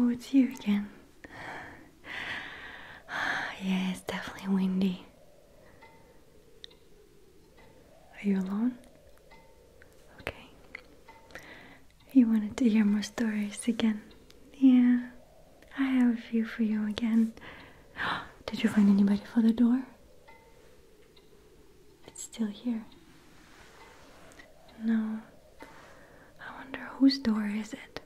Oh, it's you again. yeah, it's definitely windy. Are you alone? Okay. You wanted to hear more stories again? Yeah. I have a few for you again. Did you find anybody for the door? It's still here. No. I wonder whose door is it?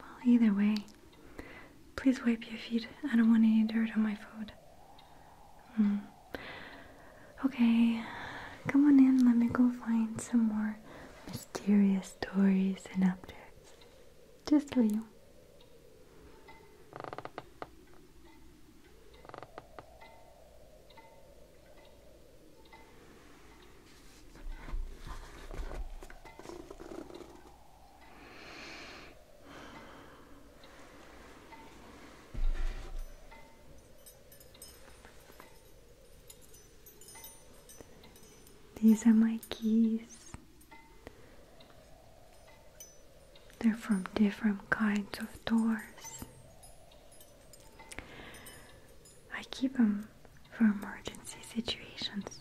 Well, either way, please wipe your feet. I don't want any dirt on my food. Hmm. Okay, come on in. Let me go find some more mysterious stories and objects just for you. These are my keys. They're from different kinds of doors. I keep them for emergency situations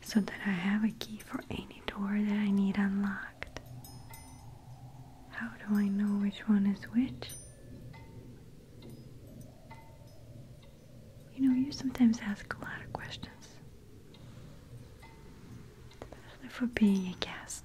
so that I have a key for any door that I need unlocked. How do I know which one is which? You know, you sometimes ask a lot of questions, especially for being a guest.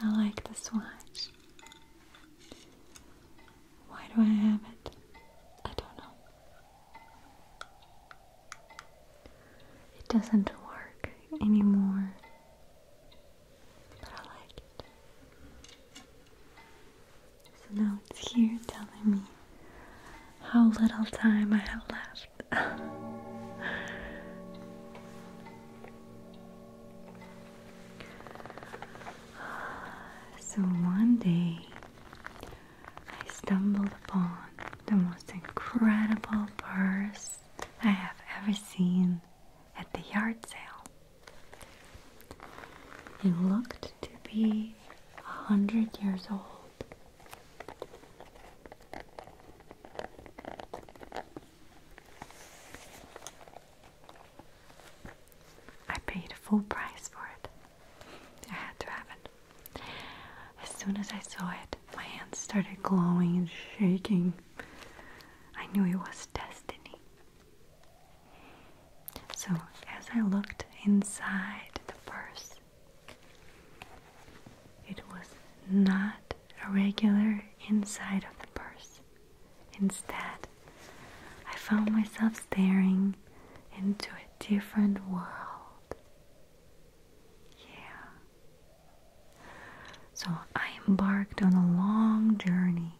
I like this watch. Why do I have it? I don't know. It doesn't work anymore, but I like it. So now it's here telling me how little time I have left. so one day I stumbled upon the most incredible purse I have ever seen at the yard sale. It looked to be a hundred years old. I paid full price for it. I had to have it. As soon as I saw it, my hands started glowing and shaking. I knew it was destiny. So, as I looked inside the purse, it was not a regular inside of the purse. Instead, I found myself staring into a different world. Yeah. So, I embarked on a long journey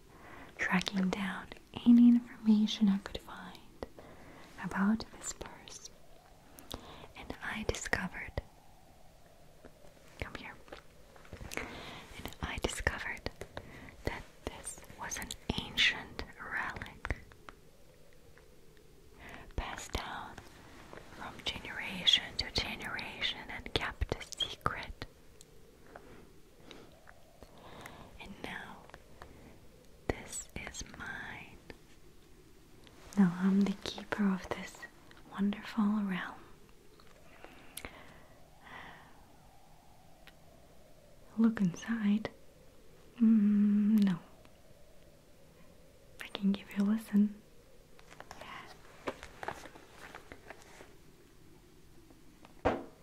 tracking down any information I could find about this purse, and I discovered. Come here. And I discovered that this was an ancient relic passed down from generation to generation and kept a secret. And now, this is mine. Now I'm the keeper of this wonderful realm. Uh, look inside. Mm, no. I can give you a listen. Yeah.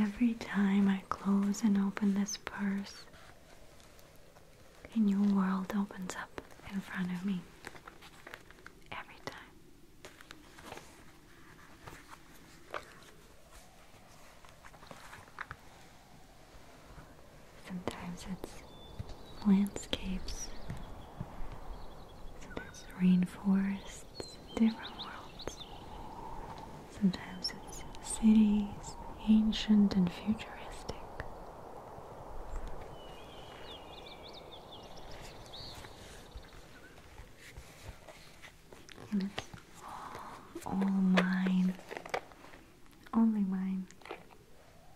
Every time I close and open this purse, a new world opens up in front of me. Every time. Sometimes it's landscapes, sometimes rainforests, different worlds. Sometimes it's cities, ancient and futuristic. And it's all, all mine, only mine.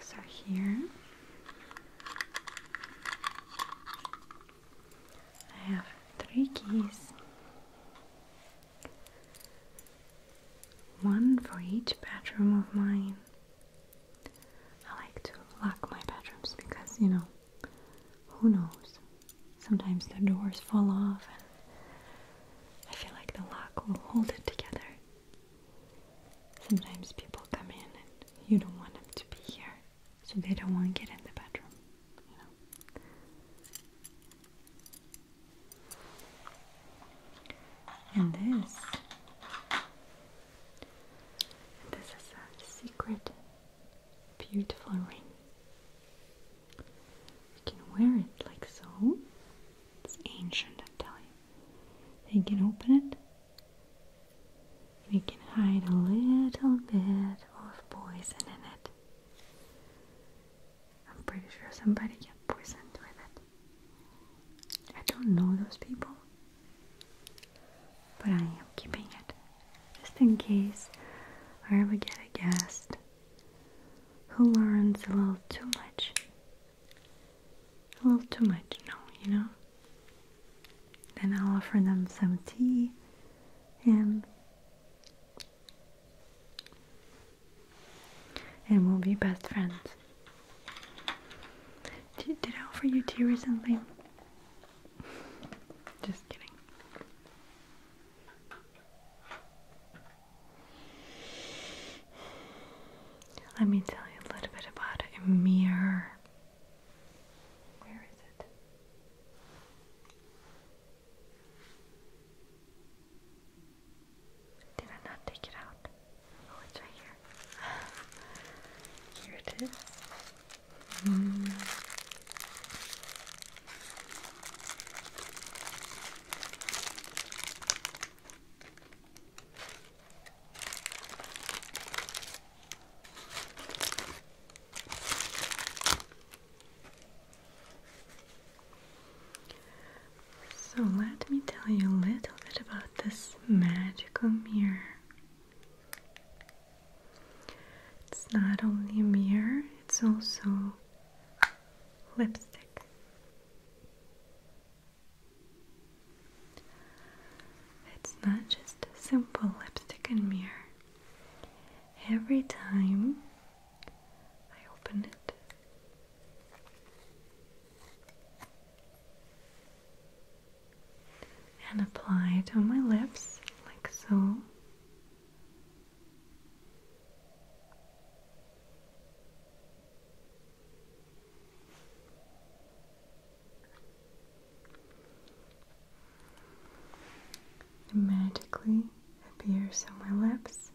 So here I have three keys, one for each bedroom of mine. I like to lock my bedrooms because, you know, who knows? Sometimes the doors fall off and I feel like the lock will hold it together. Sometimes people come in and you don't want them to be here, so they don't want to get in the bedroom, you know. And this, this is a secret, beautiful ring. You can wear it like so. It's ancient, I tell we can open it. We can hide a little bit of poison in it. I'm pretty sure somebody got poisoned with it. I don't know those people, but I am keeping it just in case I ever get a guest who learns a little too much a little too much no you know then i'll offer them some tea and and we'll be best friends did, i offer you tea recently just kidding let me tell you a little bit about a Where is it? Did I not take it out? Oh, it's right here. Here it is. Hmm. So let me tell you a little bit about this magical mirror. It's not only a mirror, it's also lipstick. It's not just a simple lipstick and mirror. Every time I open it, and apply it on my lips like so magically appears on my lips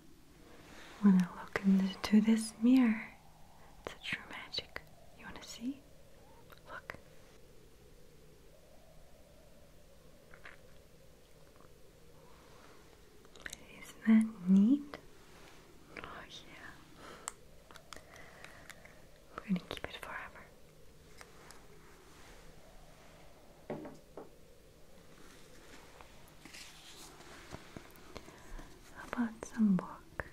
when I look into this mirror. It's magic. You want to see? Look. Isn't that neat? Oh, yeah. We're going to keep it forever. How about some book?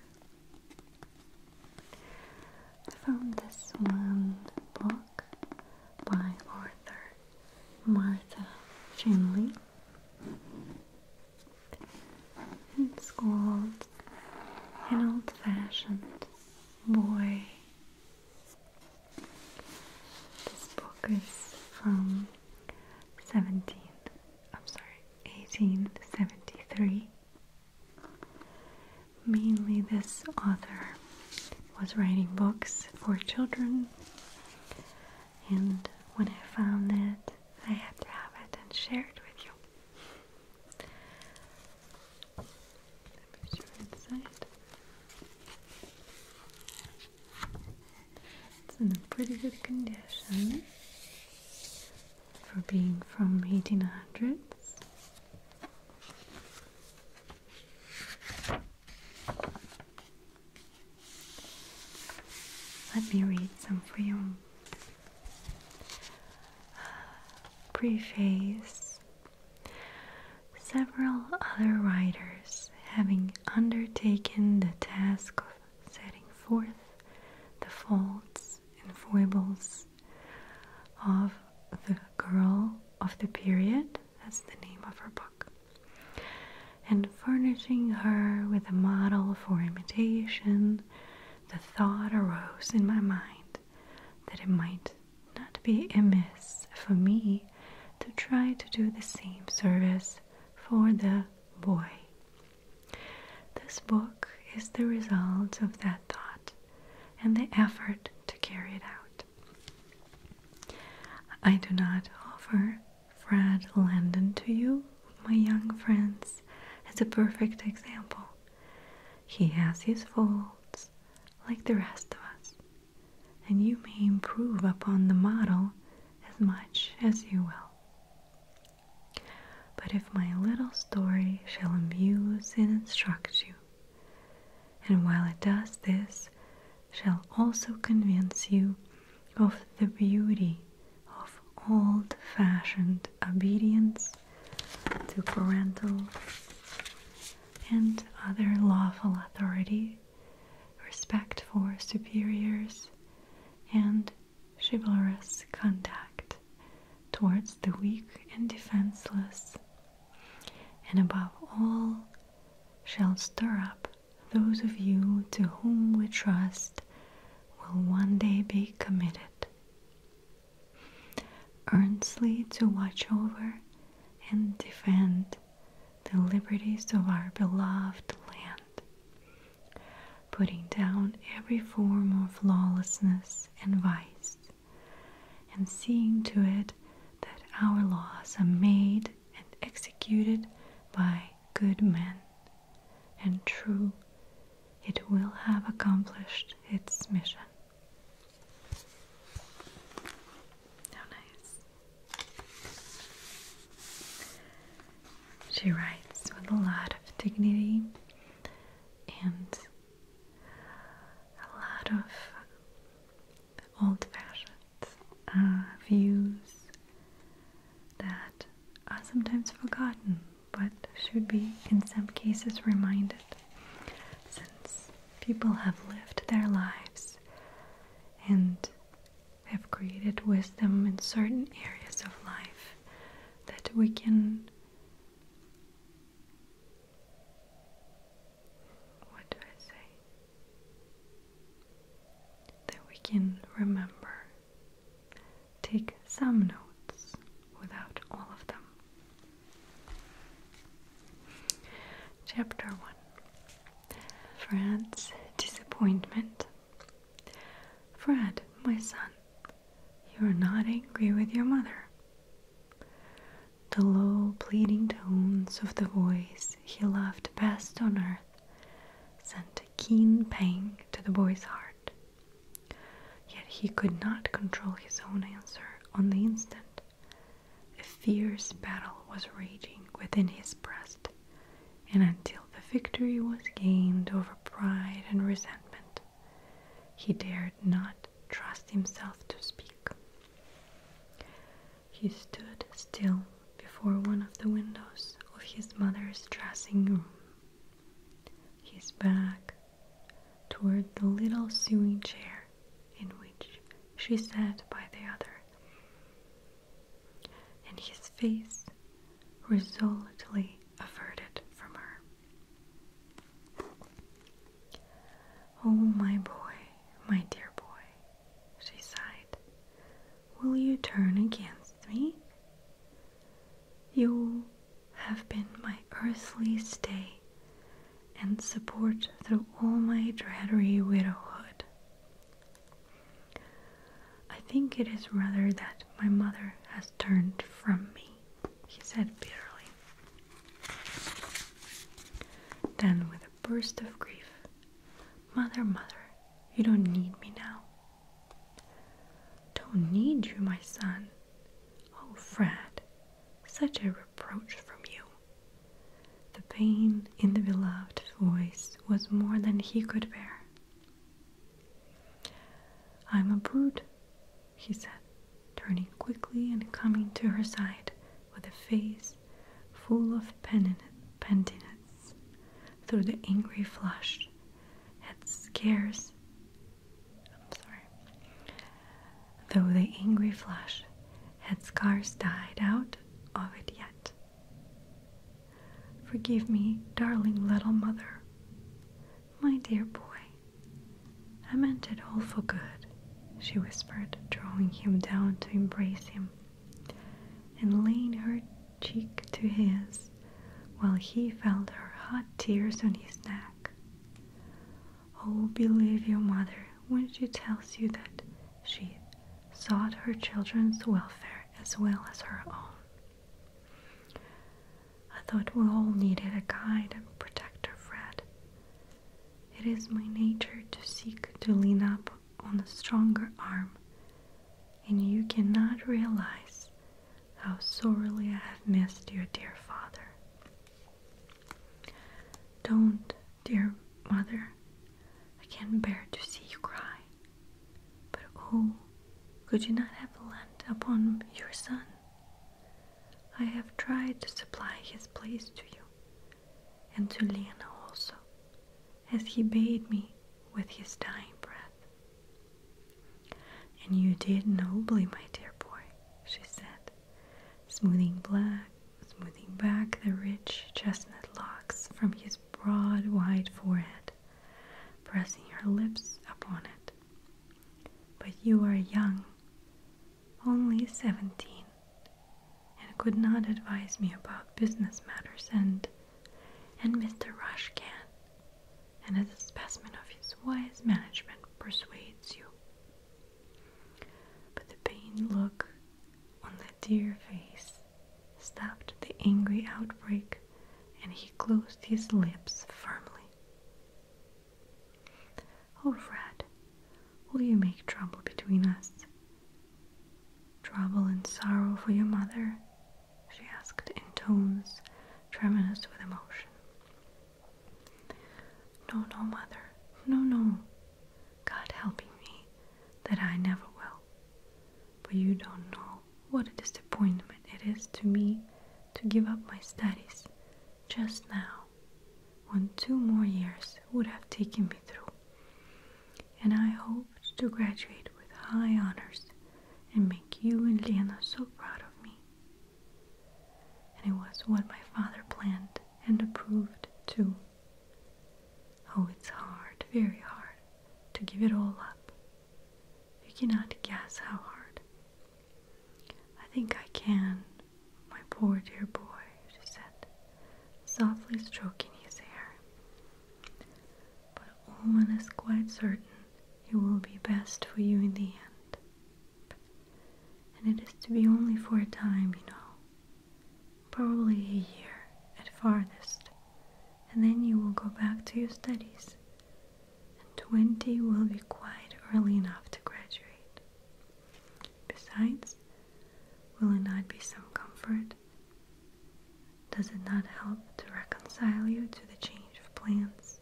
I found this one book by Arthur Martha Finley. It's called An Old Fashioned Boy. This book is from 17, I'm sorry, 1873. Mainly, this author was writing books for children and when I found it, I had to have it and share it with you. Let me show you inside. It's in a pretty good condition for being from 1800s. Let me read some for you. Preface Several other writers, having undertaken the task of setting forth the faults and foibles of the girl of the period, that's the name of her book and furnishing her with a model for imitation, the thought arose in my mind that it might not be amiss for me to try to do the same service for the boy. This book is the result of that thought and the effort to carry it out. I do not offer Fred Landon to you, my young friends, as a perfect example. He has his faults, like the rest of us, and you may improve upon the model as much as you will. But if my little story shall amuse and instruct you, and while it does this, shall also convince you of the beauty of old fashioned obedience to parental and other lawful authority, respect for superiors, and chivalrous conduct towards the weak and defenseless, and above all, shall stir up those of you to whom we trust will one day be committed. Earnestly to watch over and defend the liberties of our beloved land, putting down every form of lawlessness and vice, and seeing to it that our laws are made and executed by good men, and true, it will have accomplished its mission. How nice. She writes with a lot of dignity and a lot of old-fashioned uh, views that are sometimes forgotten but should be in some cases reminded since people have lived their lives and have created wisdom in certain areas of life that we can what do I say? That we can remember, take some notes without all of them. Chapter 1 Fred's Disappointment. Fred, my son, you are not angry with your mother. The low, pleading tones of the voice he loved best on earth sent a keen pang to the boy's heart. Yet he could not control his own answer on the instant. A fierce battle was raging within his breast, and until the victory was gained over pride and resentment, he dared not trust himself to speak. He stood still before one of the windows of his mother's dressing room, his back toward the little sewing chair in which she sat by the other, and his face resolutely averted from her. Oh, my boy, my dear boy, she sighed, will you turn against me? You have been my earthly stay and support through all my dreary widowhood. I think it is rather that my mother has turned from me, he said bitterly. Then, with a burst of grief, Mother, mother, you don't need me now. Don't need you, my son. Oh, Fred, such a reproach from you. The pain in the beloved voice was more than he could bear. I'm a brute, he said turning quickly and coming to her side with a face full of penitence. Through the angry flush, had scarce. I'm sorry. Though the angry flush had scarce died out of it yet. Forgive me, darling little mother. My dear boy, I meant it all for good, she whispered, drawing him down to embrace him, and laying her cheek to his, while he felt her hot tears on his neck. Oh, believe your mother when she tells you that she sought her children's welfare as well as her own. I thought we all needed a guide and protector, Fred. It is my nature to seek to lean up on a stronger arm, and you cannot realize how sorely I have missed your dear father. Don't, dear mother, I can't bear to see you cry. But oh, could you not have leaned upon your son? I have tried to supply his place to you, and to Lena also, as he bade me with his dying breath. And you did nobly, my dear boy, she said, smoothing black, smoothing back the rich chestnut locks from his broad, white forehead, pressing her lips upon it. But you are young, only seventeen, and could not advise me about business matters and and Mr. Rush can, and as a specimen of his wise management persuades you. But the pained look on the dear face stopped the angry outbreak, and he closed his lips firmly. Oh, Fred, will you make trouble between us? Trouble and sorrow for your mother? she asked in tones tremulous with emotion. No, no, mother, no, no. God helping me, that I never will. But you don't know what a disappointment it is to me to give up my studies just now when two more years would have taken me through, and I hoped to graduate with high honors and make you and Lena so proud of me. And it was what my father planned and approved too. Oh, it's hard, very hard, to give it all up. You cannot guess how hard. I think I can, my poor dear boy, she said, softly stroking his hair. But Ullman is quite certain it will be best for you in the end. And it is to be only for a time, you know. Probably a year at farthest, and then you will go back to your studies and 20 will be quite early enough to graduate. Besides, will it not be some comfort? Does it not help to reconcile you to the change of plans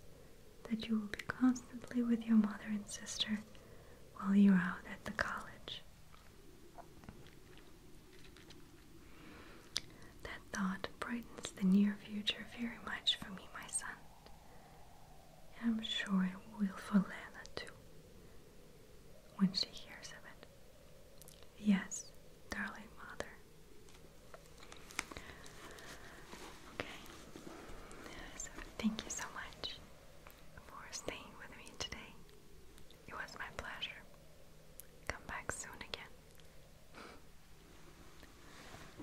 that you will be constantly with your mother and sister while you're out at the college? That thought brightens the near future very much for me, my son. I'm sure it will for Lena too when she hears of it. Yes, darling mother. Okay, thank you so much for staying with me today. It was my pleasure. Come back soon again.